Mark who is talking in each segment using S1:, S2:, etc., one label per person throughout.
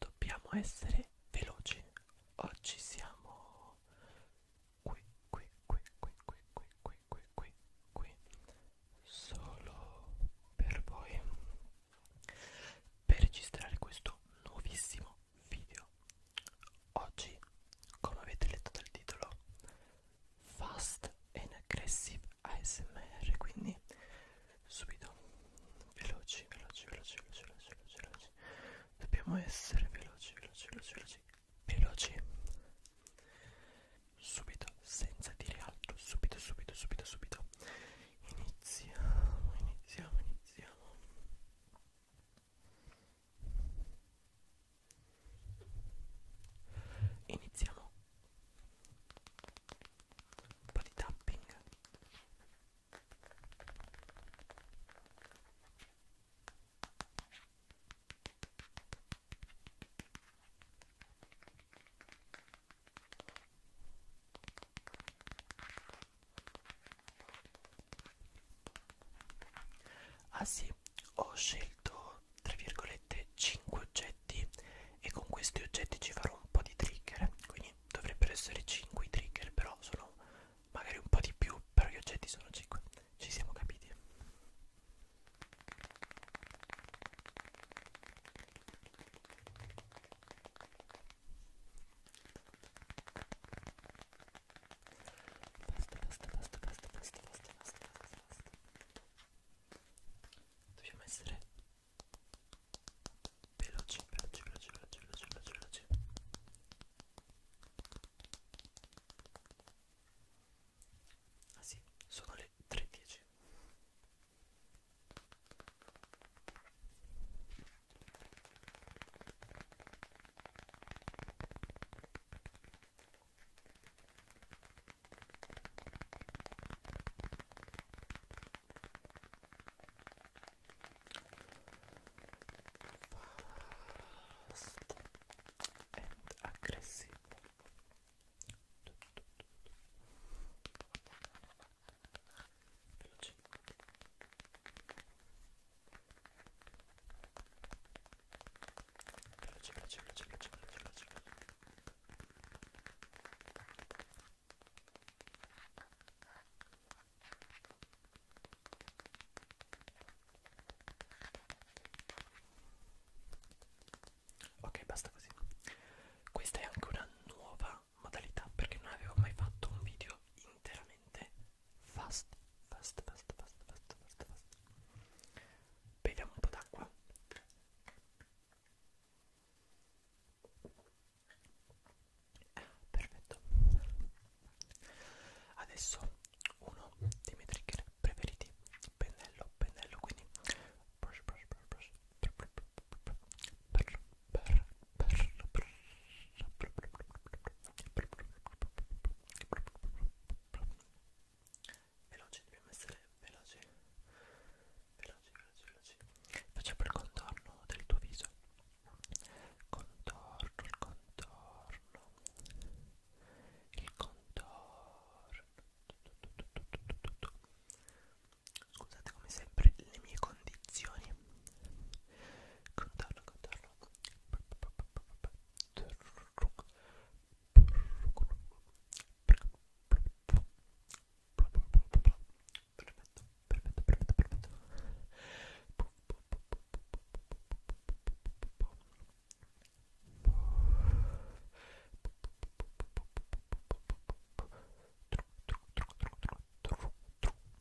S1: dobbiamo essere veloci oggi siamo qui qui qui qui qui qui qui qui qui qui solo per voi per registrare questo nuovissimo video oggi come avete letto dal titolo fast and aggressive ASMR quindi subito veloci veloci veloci veloci veloci veloci dobbiamo essere veloci, veloci, veloci, veloci, veloci. Subito, senza dire altro, subito, subito, subito, subito. Iniziamo, iniziamo, iniziamo. Iniziamo un po' di tapping Ah sì, ho scelto tra virgolette 5 oggetti e con questi oggetti ci farò un po' di trigger, quindi triggerini dovrebbero essere 5 i trigger però sono magari un po' di più però gli oggetti sono 5 ci siamo capiti basta basta basta basta basta basta basta basta basta dobbiamo essere veloci, veloci, veloci, veloci, veloci, veloci, veloci. Ah sì, sono le 3.10. Fast and aggressive. Veloce. Veloce, veloce, veloce, veloce, veloce, veloce. Ok, basta così. Questa è anche una nuova modalità perché non avevo mai fatto un video interamente fast, fast, fast, fast, fast, fast, fast. Beviamo un po' d'acqua perfetto adesso uno dei miei trigger preferiti pennello pennello quindi brush brush brush brush veloci dobbiamo essere veloci veloci, veloci, veloci. Facciamo il contorno del tuo viso. Contorno, il contorno. Il contorno. Scusate come sempre le mie condizioni. Contorno, contorno perfetto, perfetto, perfetto, perfetto. Perfetto,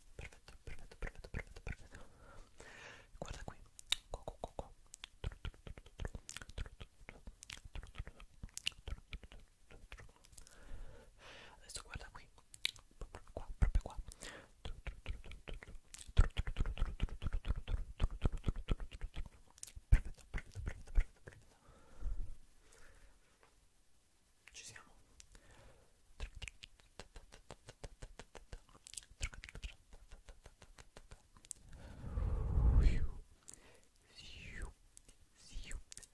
S1: perfetto, perfetto, perfetto, perfetto. Guarda qui. Qua, qua, qua, qua. Adesso guarda qui, proprio qua, proprio qua. Perfetto, perfetto, perfetto, perfetto. Ci siamo. Siu, siu,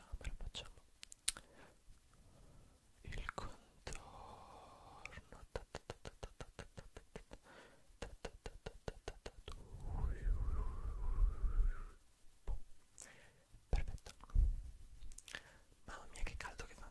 S1: camera facciamo il contorno perfetto mamma mia che caldo che fa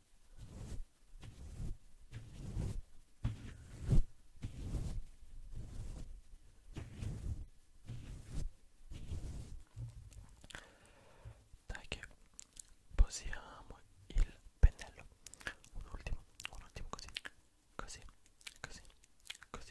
S1: Dai che posiamo il pennello. Un ultimo, un ultimo così, così, così, così.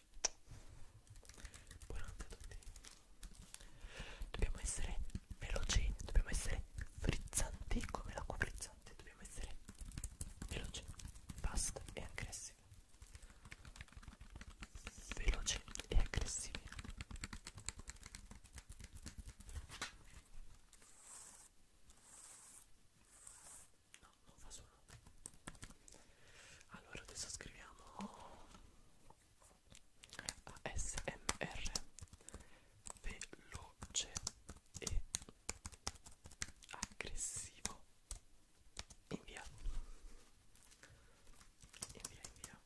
S1: piace buonanotte a tutti dobbiamo essere veloci dobbiamo essere frizzanti come l'acqua frizzante dobbiamo essere veloci basta e aggressivi veloci e aggressivi No, non fa suono allora adesso scriviamo ASMR veloce e aggressivo invia invia invia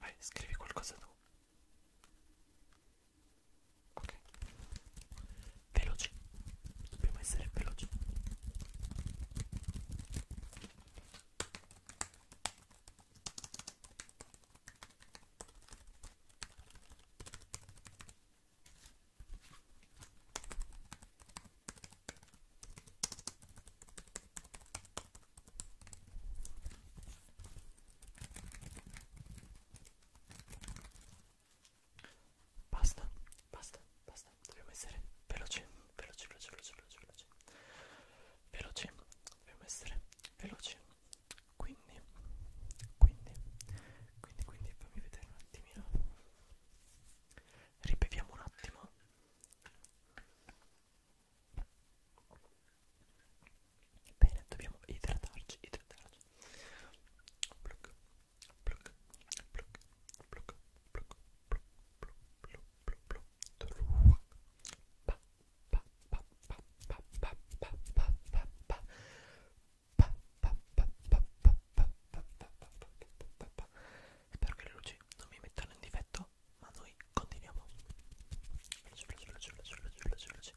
S1: Vai, scrivi qualcosa tu ok veloci dobbiamo essere veloci Basta, basta, basta. Dobbiamo essere veloci, veloci, veloci, veloci, veloci, veloci. Veloci, dobbiamo essere veloci. Quindi, quindi, quindi, quindi fammi vedere un attimino. Ribeviamo un attimo. Bene, dobbiamo idratarci, idratarci. Pluck, pluck, pluck, pluck, pluck, pluck, pluck, pluck, pluck, pluck. Pa, pa, pa, pa, pa, pa, pa, pa, pa, pa. Pa, pa, pa, pa, pa, pa, pa, pa, pa. Spero che le luci non mi mettano in difetto, ma noi continuiamo. Veloce, veloce, veloce, veloce, veloce, veloce, veloce.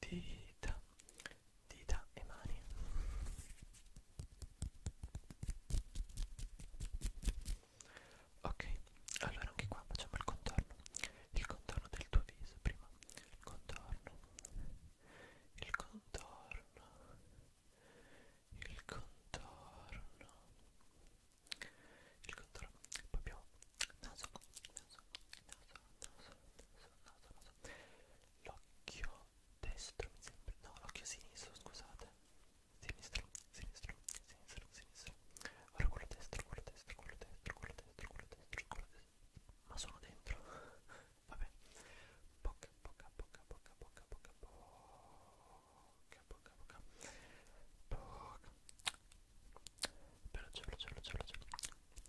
S1: dita, dita e mani. Ok, allora anche qua facciamo il contorno. Il contorno del tuo viso prima. Il contorno. Il contorno. Il contorno. Il contorno. Poi abbiamo naso, naso, naso naso, l'occhio destro mi sembra, no l'occhio sinistro scusate, sinistro, sinistro, sinistro, sinistro, ora quello destro, quello destro, quello destro, quello destro, quello destro, quello destro, ma sono dentro, vabbè, bocca, bocca, bocca, bocca, bocca, bocca, bocca, bocca, bocca, bocca, veloce, veloce, veloce, veloce,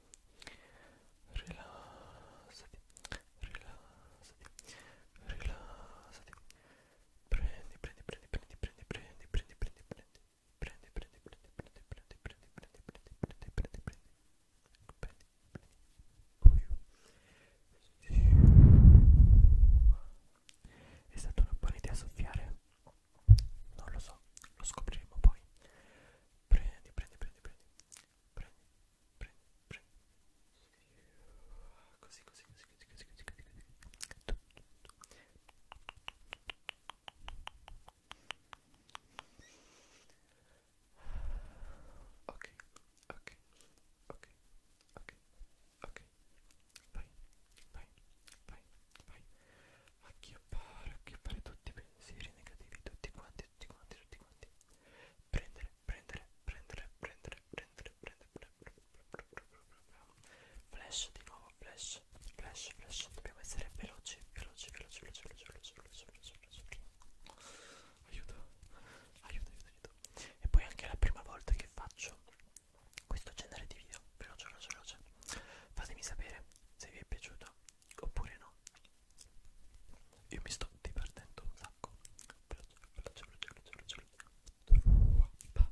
S1: rilassati, rilassati, rilassati. Prendi, prendi, prendi, prendi, prendi, prendi, prendi, prendi, prendi, prendi, prendi, prendi, prendi, prendi, prendi, prendi, prendi, prendi, prendi, prendi. È stata una buona idea soffiare? Non lo so, lo scopriremo poi. Prendi, prendi, prendi, prendi, prendi, pre, pre. Così, così, così, così, così, così, così, così. Ok, ok, ok, ok, ok. Vai, vai, vai, vai. Acchiappare, acchiappare tutti i pensieri negativi, tutti quanti quanti, tutti quanti, tutti quanti. Prendere, prendere, prendere, prendere, prendere, prendere, flash di nuovo, flash, flash, flash. Dobbiamo essere veloci, veloci, veloci, veloci, veloci, veloci, veloci, veloci, veloci. Aiuto, aiuto, aiuto, aiuto. E poi anche la prima volta che faccio questo genere di video, veloce, veloce, veloce. Fatemi sapere se vi è piaciuto oppure no io mi sto divertendo un sacco. Veloce, veloce, veloce, veloce.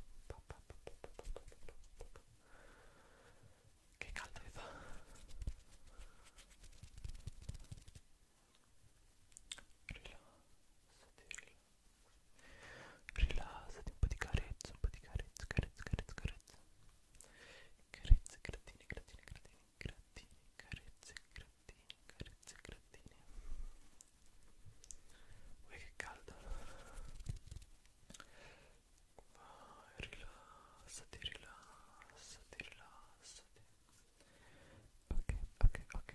S1: Che caldo che fa. Rilassati, rilassati. un po' di carezza, un po' di carezza, carezza, carezza, carezza. Carezza, gratini, gratini, gratini grattini, carezze, grattini, carezze, grattini. Uè che caldo! Vai, rilassati, rilassati, rilassati. Ok, ok, ok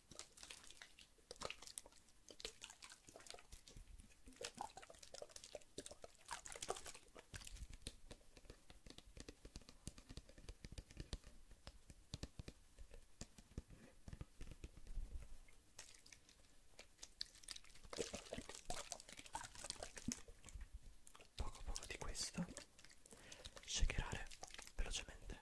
S1: poco poco di questo shakerare velocemente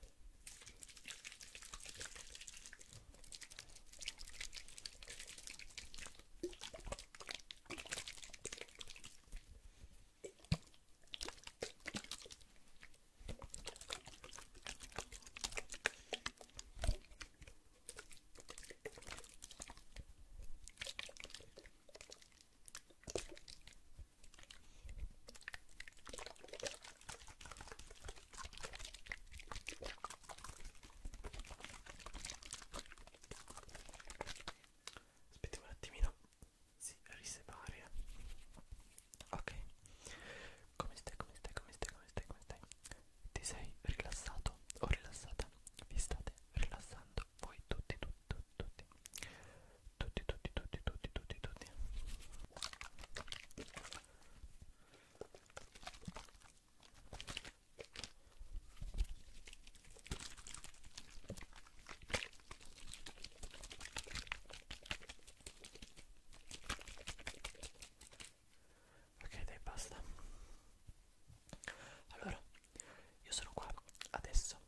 S1: Aspettiamo un attimino, si risepari. Eh. Ok, come stai, come stai, come stai, come stai, come stai? Ti sei rilassato o rilassata? Vi state rilassando voi tutti, tutti, tutti, tutti tutti tutti tutti tutti tutti tutti ok dai basta allora io sono qua adesso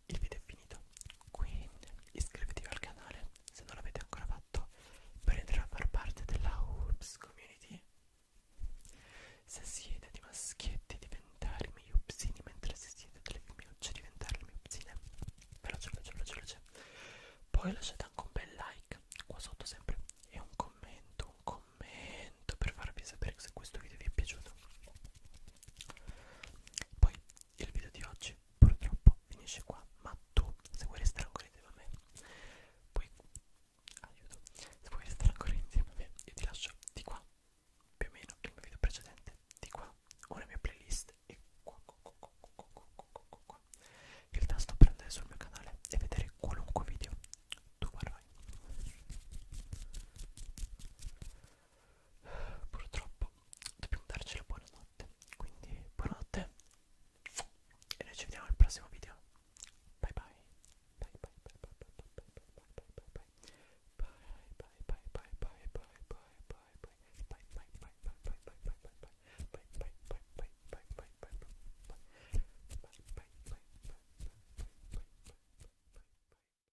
S1: il video è finito quindi iscrivetevi al canale se non l'avete ancora fatto per entrare a far parte della Ups Community se siete di maschietti diventare i miei upsini mentre se siete delle femminucce diventare le mie upsine veloce veloce veloce veloce poi lasciate anche un bel like qua sotto sempre e un commento un commento per farvi sapere se questo video vi è piaciuto poi il video di oggi purtroppo finisce qua, ma tu se vuoi restare ancora insieme a me, poi aiuto, se vuoi restare ancora insieme a me, io ti lascio di qua, più o meno il mio video precedente, di qua, una mia playlist e qua, qua, qua, qua, qua, qua, qua, qua. il tasto per andare sul mio canale e vedere qualunque video tu vorrai purtroppo dobbiamo darci la buonanotte quindi buonanotte e noi ci vediamo al prossimo video bye bye bye bye bye bye bye bye bye bye bye bye bye bye